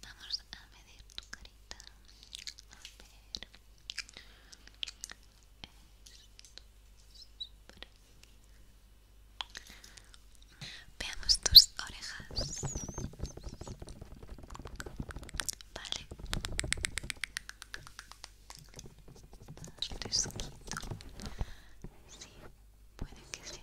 Vamos a medir tu carita. A ver. Veamos tus orejas. Vale. Estás fresquito. Sí, puede que sí.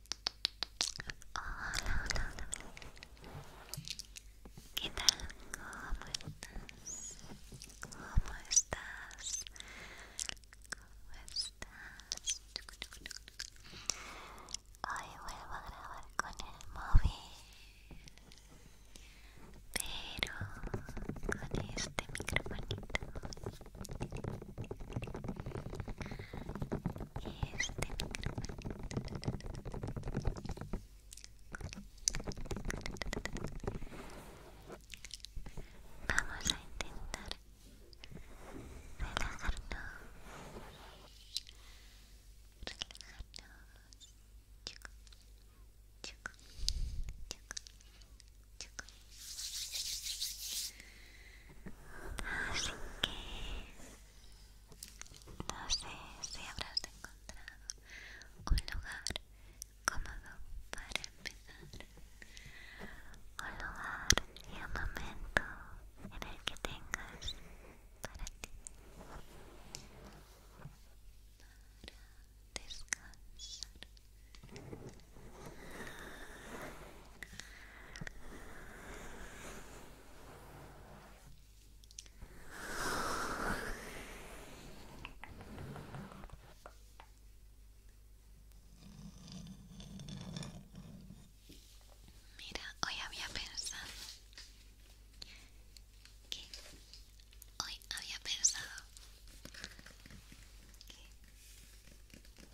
Hola, hola, hola. ¿Qué tal? ¿Cómo estás? ¿Cómo estás? a grabar con el móvil, pero con este microfonito. Vamos a intentar relajarnos, relajarnos, Así que no sé si habrás encontrado un lugar cómodo para empezar, un lugar y un momento en el que tengas para ti, para descansar. Mira, hoy había pensado que hoy había pensado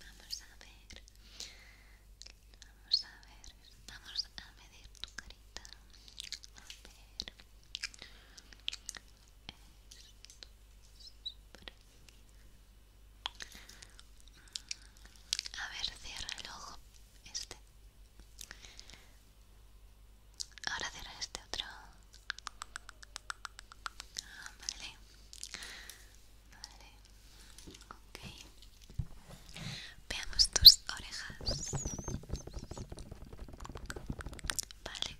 Vamos a ver. Vamos a ver. Vamos a medir tu carita. A ver. A ver, cierra el ojo. Este. Ahora cierra este otro. Ah, Veamos tus orejas. Vale.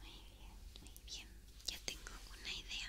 Muy bien, muy bien. Ya tengo una idea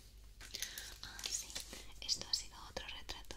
Ah, sí, esto ha sido otro retrato.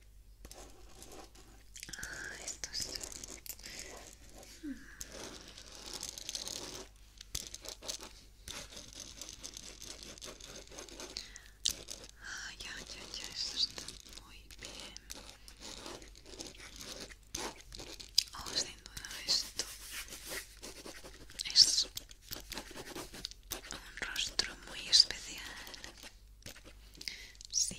Ah, esto Ah, ya, ya, ya, esto está muy bien. Oh, sin duda esto es un rostro muy especial. Sí,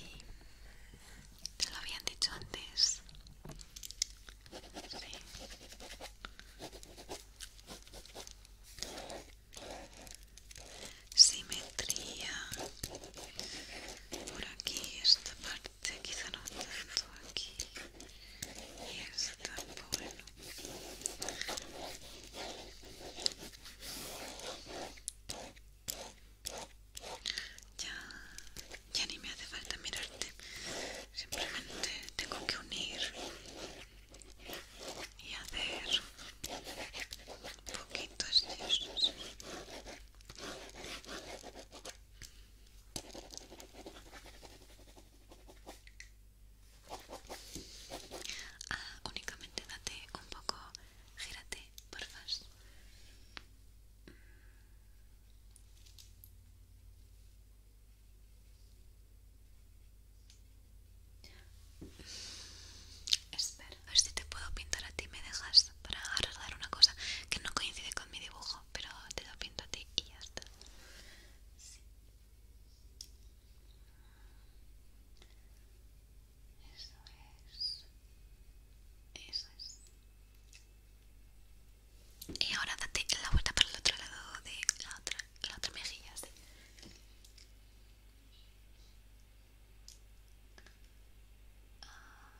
te lo habían dicho antes. Sí. Simetría. Por aquí, esta parte, quizá no tanto aquí. Y esta, bueno. Ya, ya ni me hace falta mirarte. Simplemente tengo que unir y hacer poquitos de estos. Ah, únicamente date un poco, gírate, por Espera, a ver si te puedo pintar a ti. Me dejas para arreglar una cosa que no coincide con mi dibujo, pero te lo pinto a ti y ya está. Eso es. Eso es. Y ahora date la vuelta para el otro lado de la otra, mejilla, ¿sí? Ah,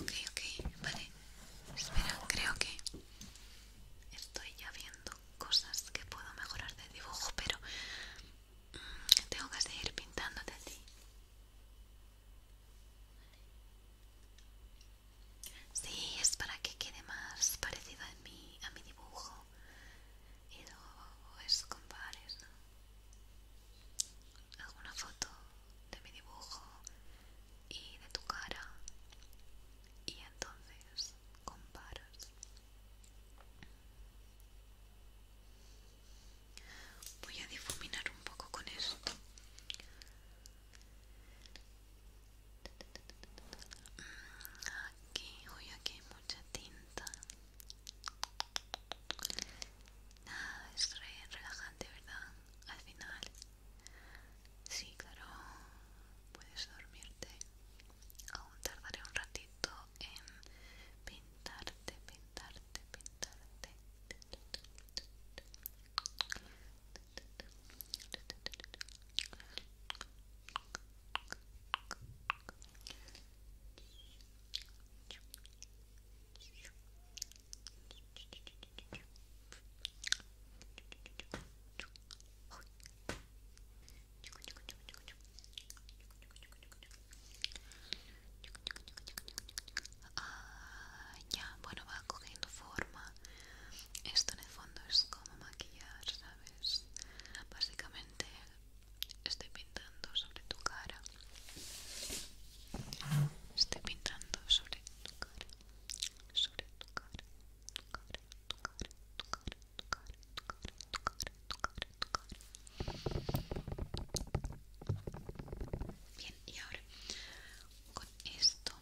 ok, ok, vale. Espera, creo que estoy ya viendo cosas que puedo mejorar de dibujo, pero tengo que seguir pintándote así. Sí, es para que quede más parecido a mi, a mi dibujo y luego es compares, alguna foto de mi dibujo y de tu cara y entonces comparas. Voy a difuminar un poco con esto. Aquí, hoy aquí hay mucha tinta. Nada, es re relajante, ¿verdad? Al final. Sí, claro, puedes dormirte aún tardaré un ratito en pintarte, pintarte, pintarte. Ah, ya, bueno, va cogiendo forma. Esto en el fondo es como maquillar, ¿sabes? Básicamente estoy pintando sobre tu cara. Estoy pintando sobre tu cara. Sobre tu cara. Tu cara, tu cara, tu cara, Bien, y ahora con esto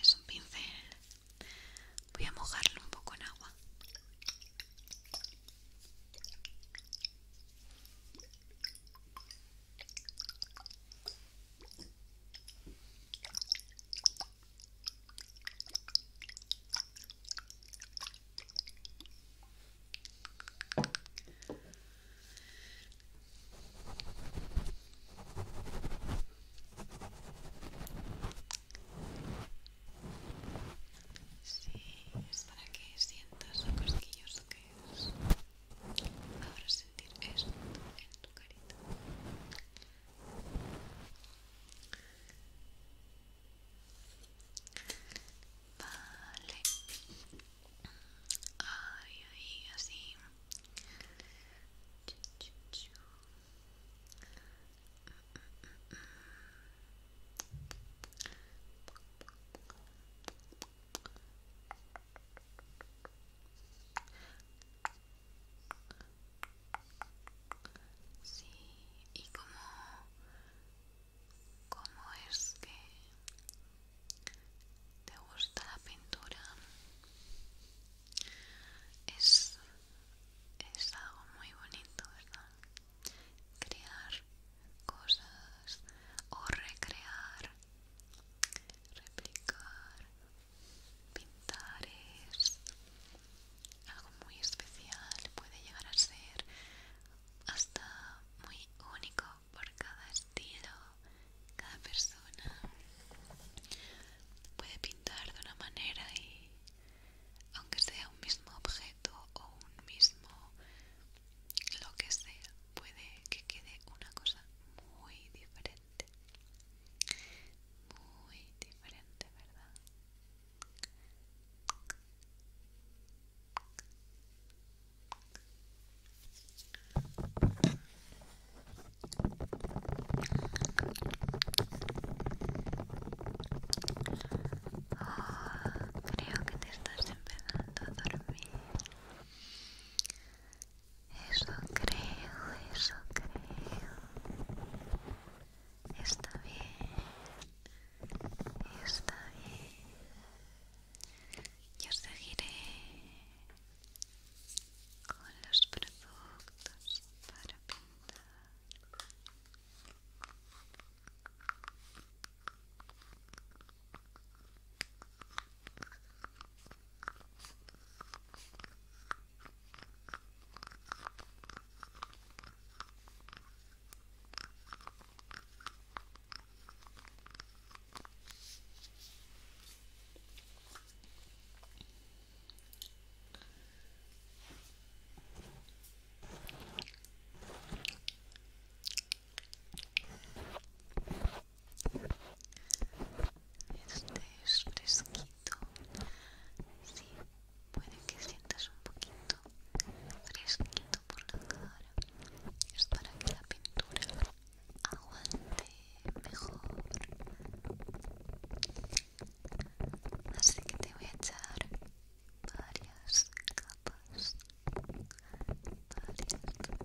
es un pincel. Voy a mojarlo un poco en agua. Sí, es para que sientas lo cosquilloso que es. Ahora sentir esto en tu carita. Vale. Ay, ahí, así. Sí, y cómo, es que te gusta la pintura. Es, es algo muy bonito, ¿verdad? Crear cosas o recrear, replicar, pintar es algo muy especial, puede llegar a ser hasta muy único por cada estilo, cada persona puede pintar de una manera y aunque sea un mismo objeto o un mismo lo que sea, puede que quede una cosa muy diferente. Muy diferente, ¿verdad? creo que te estás empezando a dormir. Eso creo, eso creo. Está bien, está bien. Yo seguiré con los productos para pintar. Este es fresquito. Sí, puede que sientas un poquito fresquito por la cara. Es para que la pintura aguante mejor. Así que te voy a echar varias capas. Varias capas.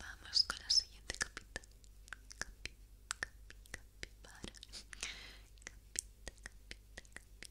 Vamos con la siguiente capita. Capita, capita, capibara. Capita, capita, capita.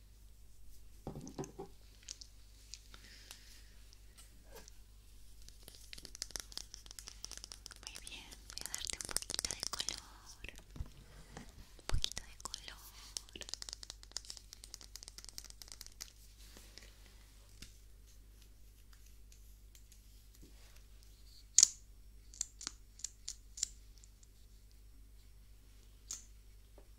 Muy bien, voy a darte un poquito de color. Un poquito de color.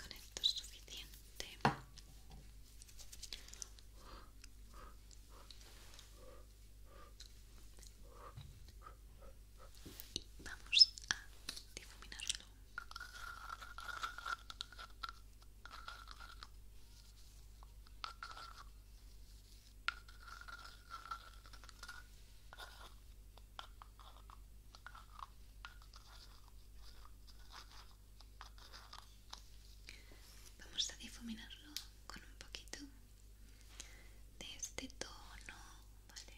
Con esto suficiente. Y vamos a difuminarlo. Vamos a difuminarlo con un poquito de este tono, ¿vale?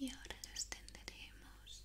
Y ahora lo extenderemos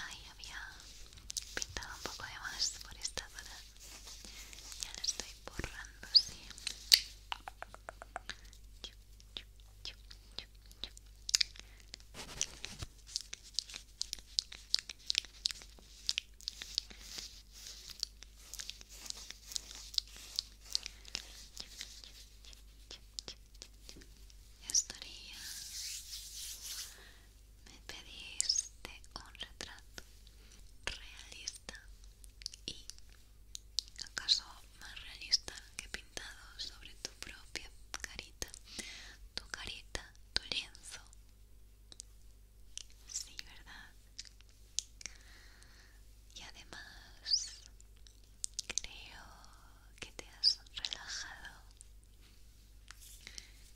ahí había pintado un poco de más por esta zona ya la estoy borrando así estaría me pediste un retrato realista y acaso más realista que pintado sobre tu propia carita tu carita tu lienzo sí verdad y además creo que te has relajado.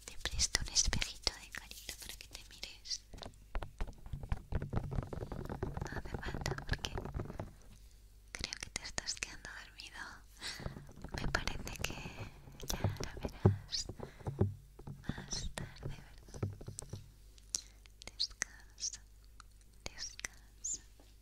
Te presto un espejito de carita para que te mires. No hace falta porque creo que te estás quedando dormido. Me parece que ya la verás más tarde, ¿verdad? Descansa, descansa.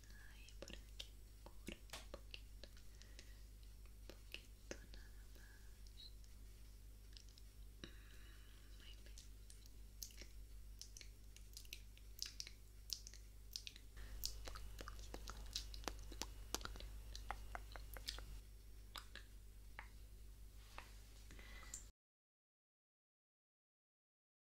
Ay, por aquí, por un poquito, un poquito nada más. muy bien.